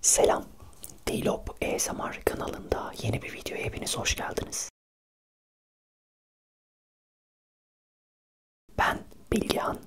Selam, Dilop ASMR kanalında yeni bir videoya hepiniz hoş geldiniz. Ben Bilgehan.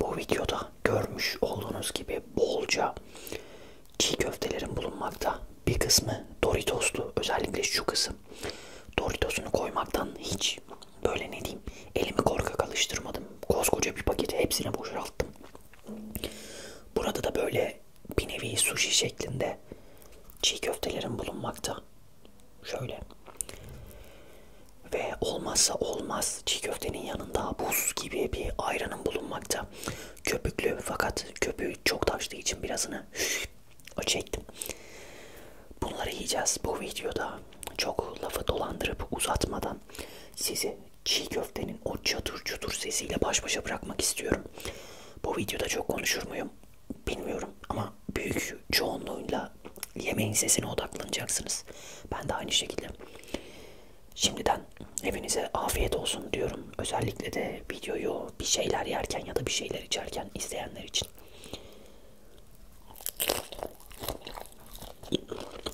Bu videoda görmüş olduğunuz gibi bolca çiğ köftelerin bulunmakta. Bir kısmı Doritos'lu, özellikle şu kısım. Doritos'unu koymaktan hiç böyle ne diyeyim elimi korkak alıştırmadım. Koskoca bir paketi hepsini boşalttım. Burada da böyle bir nevi sushi şeklinde çiğ köftelerin bulunmakta. Şöyle. Ve olmazsa olmaz çiğ köftenin yanında buz gibi bir ayranın bulunmakta. Köpüklü fakat köpüğü çok taştığı için birazını o çektim. Bunları yiyeceğiz bu videoda. Çok lafı dolandırıp uzatmadan sizi çiğ köftenin o çatır çutur sesiyle baş başa bırakmak istiyorum. Bu videoda çok konuşur muyum bilmiyorum ama büyük çoğunluğuyla yemeğin sesine odaklanacaksınız. Ben de aynı şekilde. Şimdiden hepinize afiyet olsun diyorum. Özellikle de videoyu bir şeyler yerken ya da bir şeyler içerken izleyenler için.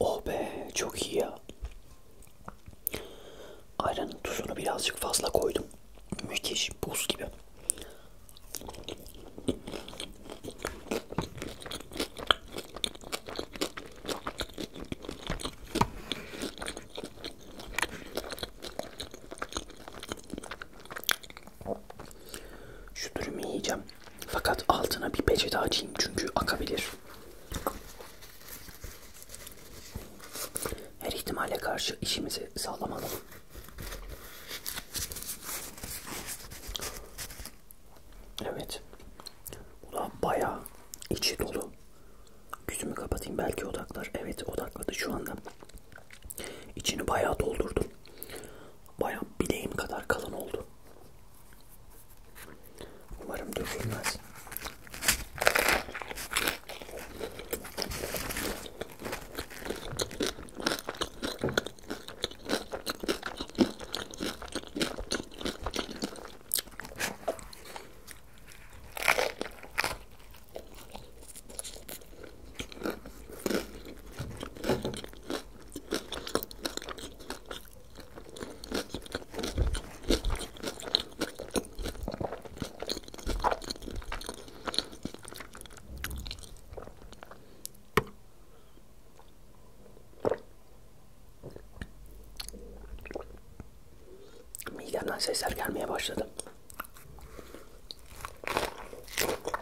Oh be çok iyi ya. Ayranın tuzunu birazcık fazla koydum. Müthiş buz gibi. Şu dürümü yiyeceğim. Fakat altına bir peçete açayım çünkü akabilir. Her ihtimale karşı işimizi sağlam alalım. Evet. Bu da bayağı içi dolu. Gözümü kapatayım belki odaklar. Evet odakladı şu anda. İçini bayağı doldurdum. Baya bileğim kadar kalın oldu. Umarım dökülmez. Midemden sesler gelmeye başladı.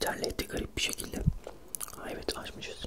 Terletti garip bir şekilde. Ha, evet açmışız.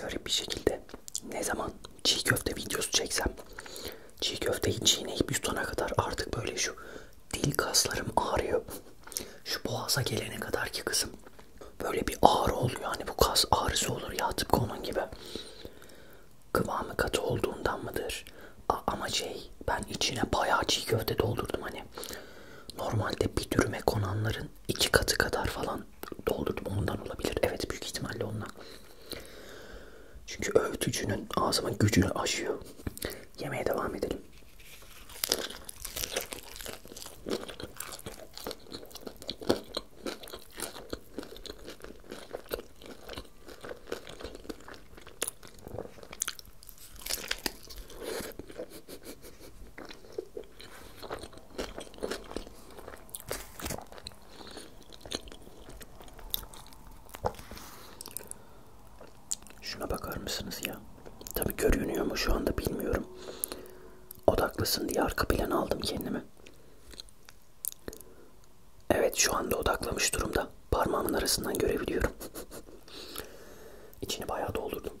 garip bir şekilde ne zaman çiğ köfte videosu çeksem çiğ köfteyi çiğneyip yutana kadar artık böyle şu dil kaslarım ağrıyor. Şu boğaza gelene kadar ki kızım böyle bir ağrı oluyor. Hani bu kas ağrısı olur ya tıpkı onun gibi. Kıvamı katı olduğundan mıdır? A ama şey ben içine bayağı çiğ köfte doldurdum hani. Normalde bir dürüme konanların iki katı kadar falan doldurdum ondan olabilir. Evet büyük ihtimalle ondan. Çünkü öğütücünün ağzımın gücünü aşıyor. Yemeye devam edelim. Şuna bakar mısınız ya? Tabi görünüyor mu şu anda bilmiyorum. Odaklısın diye arka plan aldım kendimi. Evet şu anda odaklamış durumda. Parmağımın arasından görebiliyorum. İçini bayağı doldurdum.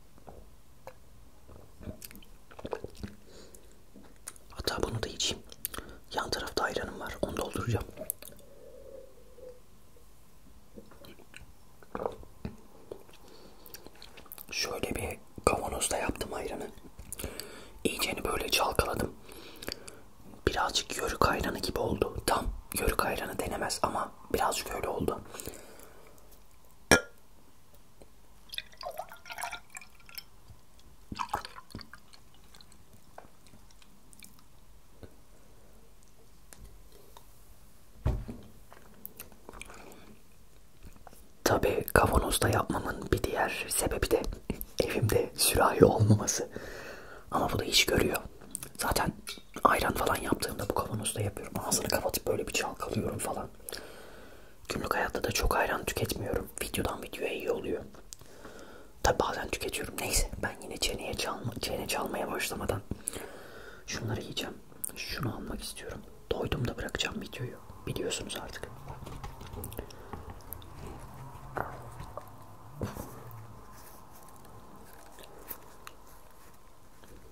Hatta bunu da içeyim. Yan tarafta ayranım var. Onu dolduracağım. Şöyle bir kavanozda yaptım ayranı. İyiceni böyle çalkaladım. Birazcık yörük ayranı gibi oldu. Tam yörük ayranı denemez ama birazcık öyle oldu. Tabi kavanozda yapmamın bir diğer sebebi de evimde sürahi olmaması. Ama bu da iş görüyor. Zaten ayran falan yaptığımda bu kavanozda yapıyorum. Ağzını kapatıp böyle bir çalkalıyorum falan. Günlük hayatta da çok ayran tüketmiyorum. Videodan videoya iyi oluyor. Tabi bazen tüketiyorum. Neyse ben yine çeneye çalma, çene çalmaya başlamadan şunları yiyeceğim. Şunu almak istiyorum. Doydum da bırakacağım videoyu. Biliyorsunuz artık.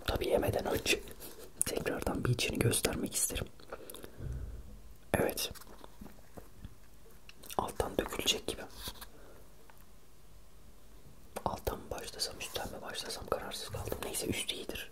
Tabi yemeden önce tekrardan bir içini göstermek isterim. Evet. Alttan dökülecek gibi. Alttan mı başlasam üstten mi başlasam kararsız kaldım. Neyse üstü iyidir.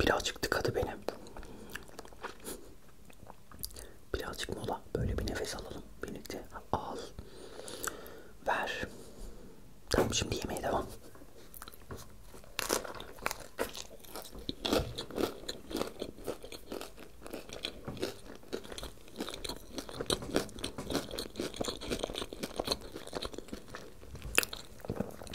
Birazcık tıkadı beni. Birazcık mola. Böyle bir nefes alalım. Birlikte al. Ver. Tamam şimdi yemeğe devam.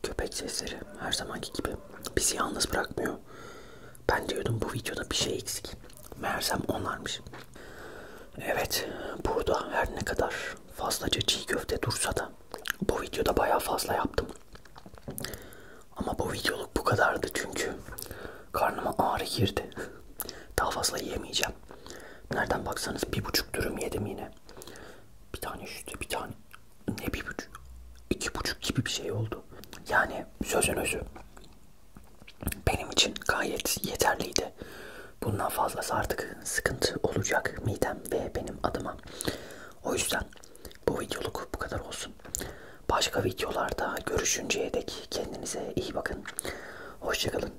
Köpek sesleri her zamanki gibi bizi yalnız bırakmıyor. Ben diyordum bu videoda bir şey eksik. Meğersem onlarmış. Evet burada her ne kadar fazlaca çiğ köfte dursa da bu videoda baya fazla yaptım. Ama bu videoluk bu kadardı çünkü karnıma ağrı girdi. Daha fazla yiyemeyeceğim. Nereden baksanız bir buçuk dürüm yedim yine bir tane üstü bir tane ne bir buçuk iki buçuk gibi bir şey oldu. Yani sözün özü benim için gayet yeterliydi. Bundan fazlası artık sıkıntı olacak midem ve benim adıma. O yüzden bu videoluk bu kadar olsun. Başka videolarda görüşünceye dek kendinize iyi bakın. Hoşçakalın.